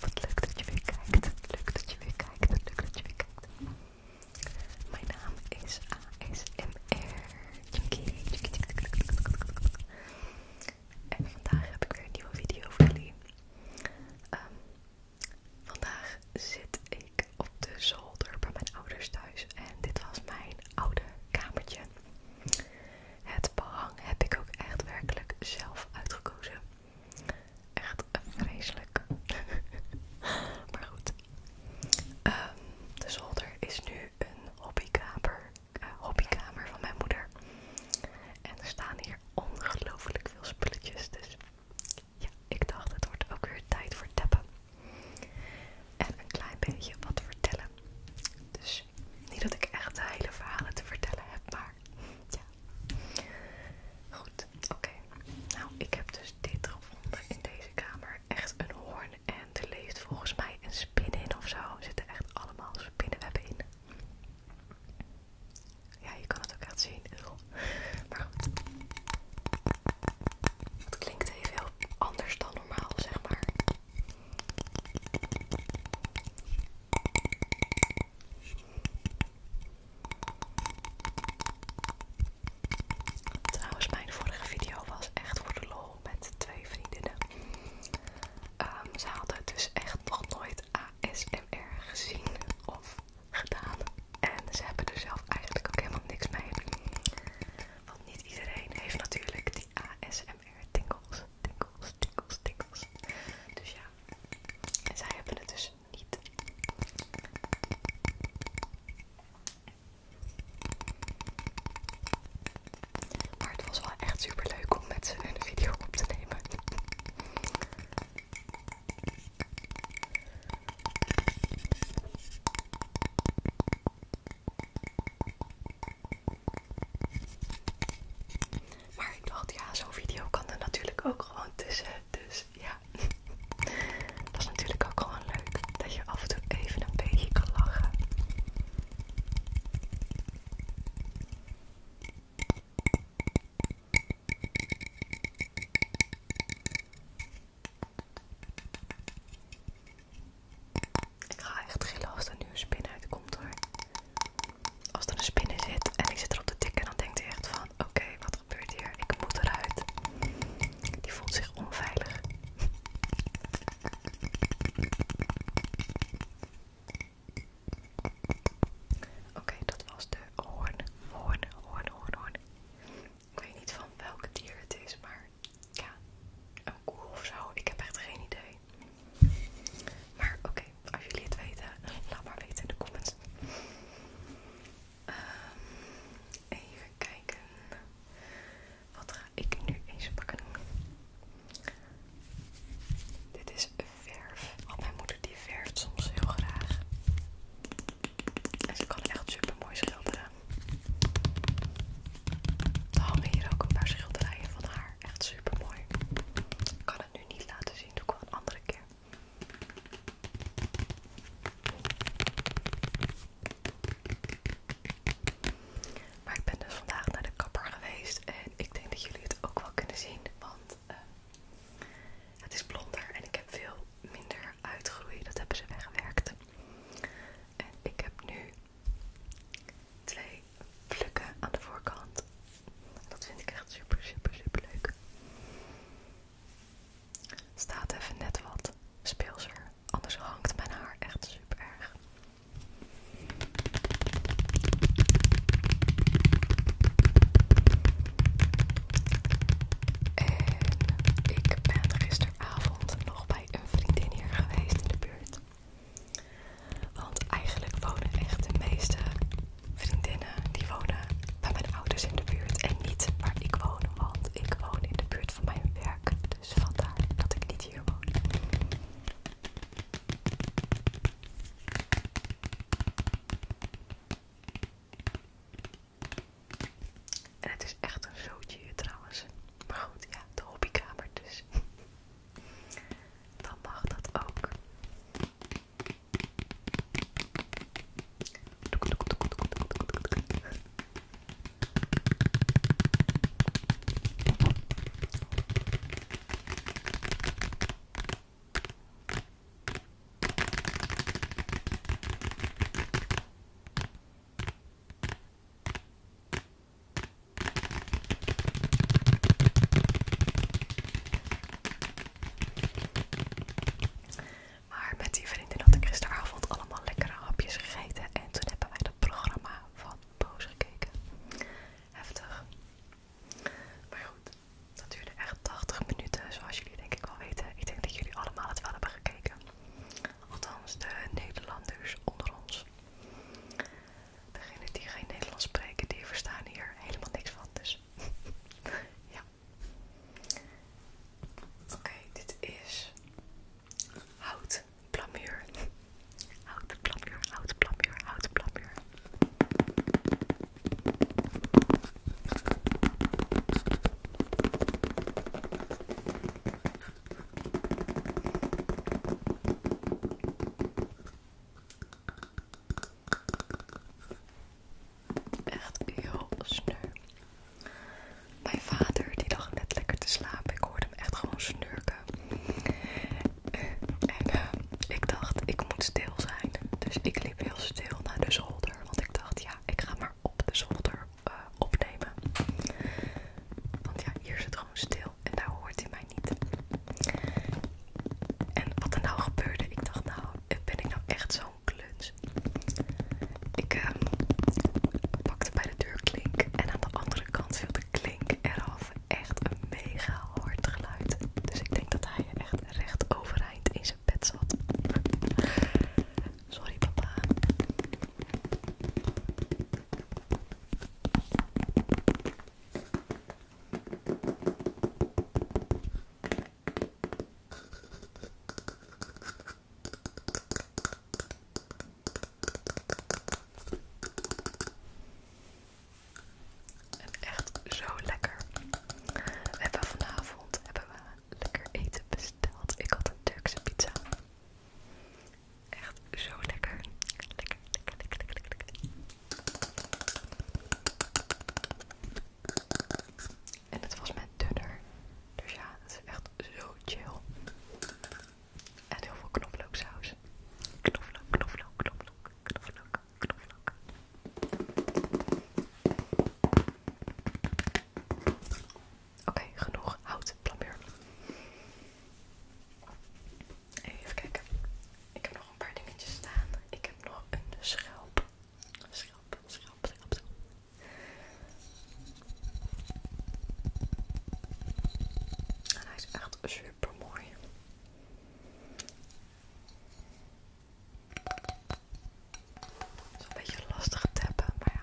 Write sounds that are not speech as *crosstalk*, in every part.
Wat leuk dat je weer kijkt. Leuk dat je weer kijkt. Leuk dat je weer kijkt. Mijn naam is ASMR. En vandaag heb ik weer een nieuwe video voor jullie. Ehm, vandaag zit ik op de zolder bij mijn ouders thuis. En dit was mijn oude kamertje het behang heb ik ook echt werkelijk zelf uitgekozen. Echt vreselijk. *laughs* maar goed. Ehm, de zolder is nu een hobbykamer, eh, hobbykamer van mijn moeder. En er staan hier ongelooflijk veel spulletjes. Dus ja, ik dacht het wordt ook weer tijd voor tappen en een klein beetje wat vertellen. Dus niet dat ik echt hele verhalen te vertellen heb, maar ja. Goed, oké. Nou, ik heb dus dit gevonden in deze kamer. Echt een hoorn en er leeft volgens mij een spin in of zo. Er zitten echt allemaal spinnenwebben in. Ja, je kan het ook echt zien. Maar goed. Het klinkt even heel anders dan normaal, zeg maar. Trouwens, mijn vorige video was echt voor de lol met twee vriendinnen. Ehm, ze hadden dus echt nog nooit ASMR gezien of gedaan. En ze hebben er zelf eigenlijk ook helemaal niks mee. Want niet iedereen heeft natuurlijk ASMR tingles, tingles, tingles, tingles. Dus ja, en zij hebben het dus niet. Maar het was wel echt super leuk om met ze een video op te nemen. Maar ik dacht, ja, zo'n video kan er natuurlijk ook gewoon tussen. Dus ja, *laughs* dat is natuurlijk ook gewoon leuk. Dat je af en toe even een beetje kan lachen. Ik ga echt gillen als er nu een spin uitkomt hoor. Als er een spin in zit en ik zit erop te tikken, dan denkt hij echt van, oké, wat gebeurt hier? Ik moet eruit. Die voelt zich onveilig. *laughs* Oké, dat was de hoorn, hoorn, hoorn, hoorn, hoorn. Ik weet niet van welk dier het is, maar ja, een koe of zo. Ik heb echt geen idee. Maar oké, als jullie het weten, laat maar weten in de comments. Ehm, even kijken. Wat ga ik nu eens pakken? Dit is verf. Want mijn moeder die verft soms heel graag. En ze kan echt super mooi schilderen. We hangen hier ook een paar schilderijen van haar. Echt super mooi. Ik kan het nu niet laten zien, doe ik wel een andere keer. Maar ik ben dus vandaag naar de kapper geweest en ik denk dat jullie het ook wel kunnen zien, want eh, het is blonder en ik heb veel minder uitgroeid. Dat hebben ze weggewerkt. En ik heb nu twee plukken aan de voorkant. Dat vind ik echt super, super, super leuk. Staat even net wat speelser, anders hangt mijn haar echt super erg. En ik ben gisteravond nog bij een vriendin hier geweest in de buurt. Want eigenlijk wonen echt de meeste vriendinnen die wonen bij mijn ouders in de buurt en niet waar ik woon, want ik woon in de buurt van mijn werk. Dus vandaar dat ik niet hier woon. En het is echt een zootje trouwens. Maar goed, ja, de hobbykamer dus. Dan mag dat ook. Maar met die vriendin had ik gisteravond allemaal lekkere hapjes gegeten en toen hebben wij dat programma van Boos gekeken. Heftig. Maar goed, dat duurde echt 80 minuten, zoals jullie denk ik wel weten. Ik denk dat jullie allemaal het wel hebben gekeken. Althans, de Nederlanders onder ons. Degenen die geen Nederlands spreken, die verstaan hier helemaal niks van. Dus *laughs* ja. Oké, dit is hout plamuur. Hout plamuur, hout plamuur, hout plamuur. Echt heel sneu. Mijn vader die lag net lekker te slapen. Ik hoorde hem echt gewoon snurken. En eh, ik dacht, ik moet stil zijn. Dus ik liep heel stil naar de zolder. Want ik dacht, ja, ik ga maar op de zolder eh, opnemen. Want ja, hier zit gewoon stil en daar hoort hij mij niet. En wat er nou gebeurde, ik dacht nou, ben ik nou echt zo'n kluns? Ik ehm, pakte bij de deur klink en aan de andere kant viel de klink eraf. Echt een mega hard geluid. Dus ik denk dat hij echt recht overeind in zijn bed zat. *laughs* Sorry papa. En echt zo lekker. We hebben vanavond hebben we lekker eten besteld. Ik had een Turkse pizza. Echt zo lekker. Lekker, En het was met dunner. Dus ja, het is echt zo chill. En heel veel knoflooksaus. Knoflook, knoflook, knoflook, knoflook, knoflook. Oké, genoeg hout plumbeer. Even kijken. Ik heb nog een paar dingetjes staan. Ik heb nog een schelp. Schelp, schelp, schelp. schelp. En hij is echt super mooi. Het is een beetje lastig te teppen, maar ja.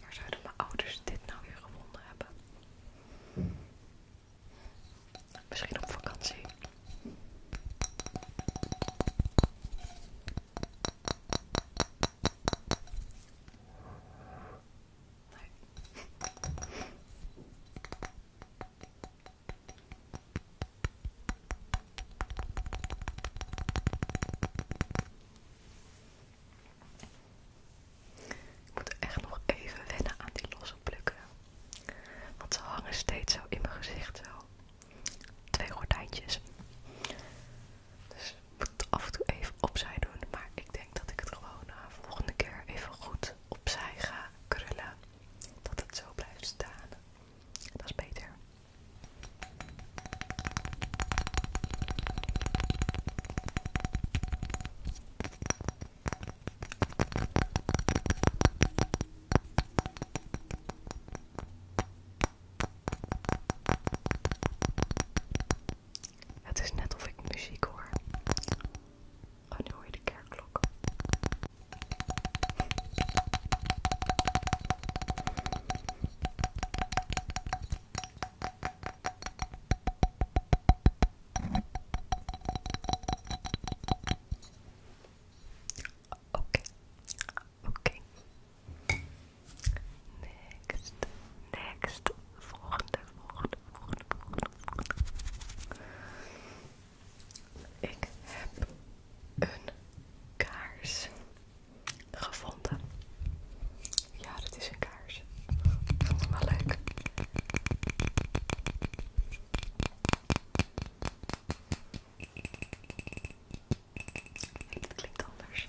Waar zouden mijn ouders dit nou weer gevonden hebben? Misschien op vakantie. Ik moet echt nog even wennen aan die losse plukken. Want ze hangen steeds zo in mijn gezicht zo. Twee gordijntjes. Dus ik moet het af en toe even opzij doen. Maar ik denk dat ik het gewoon de eh, volgende keer even goed opzij ga krullen. Dat het zo blijft staan. Dat is beter. Het is net of ik muziek hoor. Oh, nu hoor je de kerkklok. Oké, oké. Next. Next. Volgende, volgende, volgende, volgende, volgende. Ik heb een kaars gevonden. Ja, dat is een kaars. Ik vond het wel leuk. Nee, klinkt anders.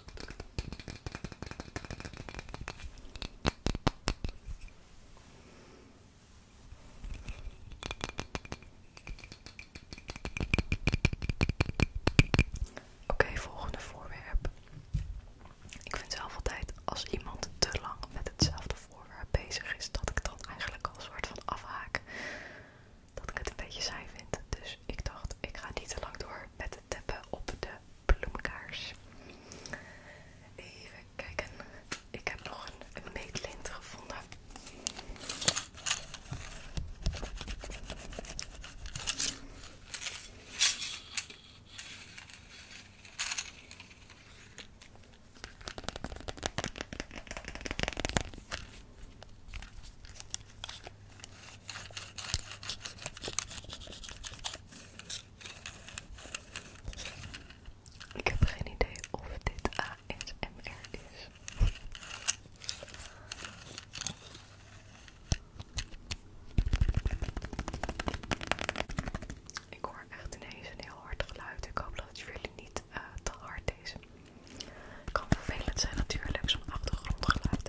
Oké, volgende voorwerp. Ik vind zelf altijd als iemand te lang met hetzelfde voorwerp bezig is, dat ik dan eigenlijk al een soort van afhaak. Dat ik het een beetje saai vind. Dus ik dacht, ik ga niet te lang door met het tappen op de bloemkaars. Even kijken. Ik heb nog een, een gevonden. Ik heb geen idee of dit ASMR is. Ik hoor echt ineens een heel hard geluid. Ik hoop dat het jullie niet eh, te hard is. Het kan vervelend zijn natuurlijk, zo'n achtergrondgeluid.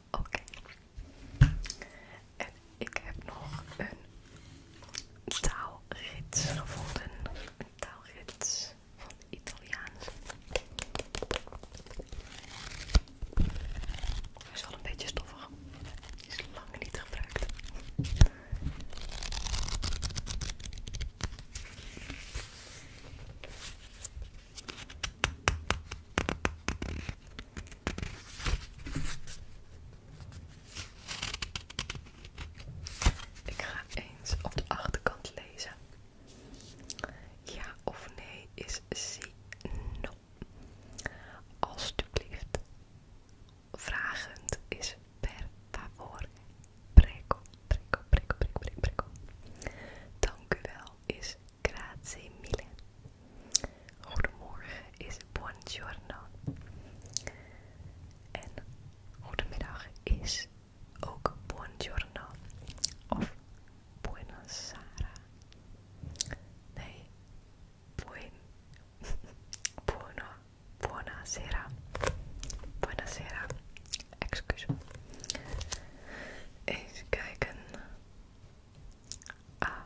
Oké. En ik heb nog een taalrits gevonden. Een taalrits van Italiaans. is wel een beetje stoffig. is lang niet gebruikt. Ik ga eens op de achterkant lezen. Ja of nee is zie no. Alsjeblieft. Vragend is per favore. Preco, preco, preco, preco, preco. Dank u wel is grazie mille. Goedemorgen is buongiorno. En goedemiddag is ook buongiorno of buonasera. Sara. Nee, *laughs* buono, buonasera, buonasera, Excuse. Eens kijken. Ah,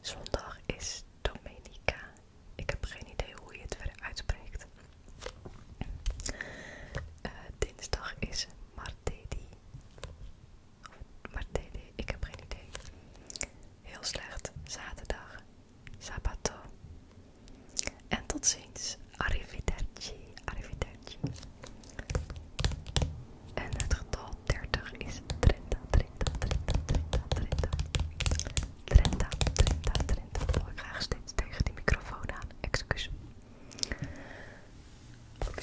zondag is domenica. Ik heb geen idee hoe je het verder uitspreekt. Eh, dinsdag is Martedi. Martedi, ik heb geen idee. Heel slecht. Zaterdag. Sabato. En tot ziens. Arrivederci. Arrivederci. En het getal 30 is 30, 30, 30, 30, 30. 30, 30, 30. Oh, ik ga steeds tegen die microfoon aan. Excuus. Oké.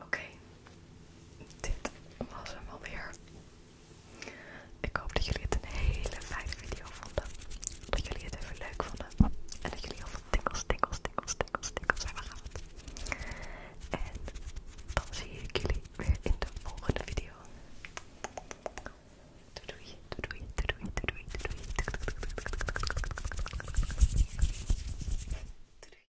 Oké, dit was hem alweer. Ik hoop dat jullie het een hele fijne video vonden. Dat jullie het even leuk vonden. En dat jullie heel veel tikkels, tikkels, tikkels, tikkels, tikkels hebben gehad. En dan zie ik jullie weer in de volgende video. doei, doei doei, doei doei. doei.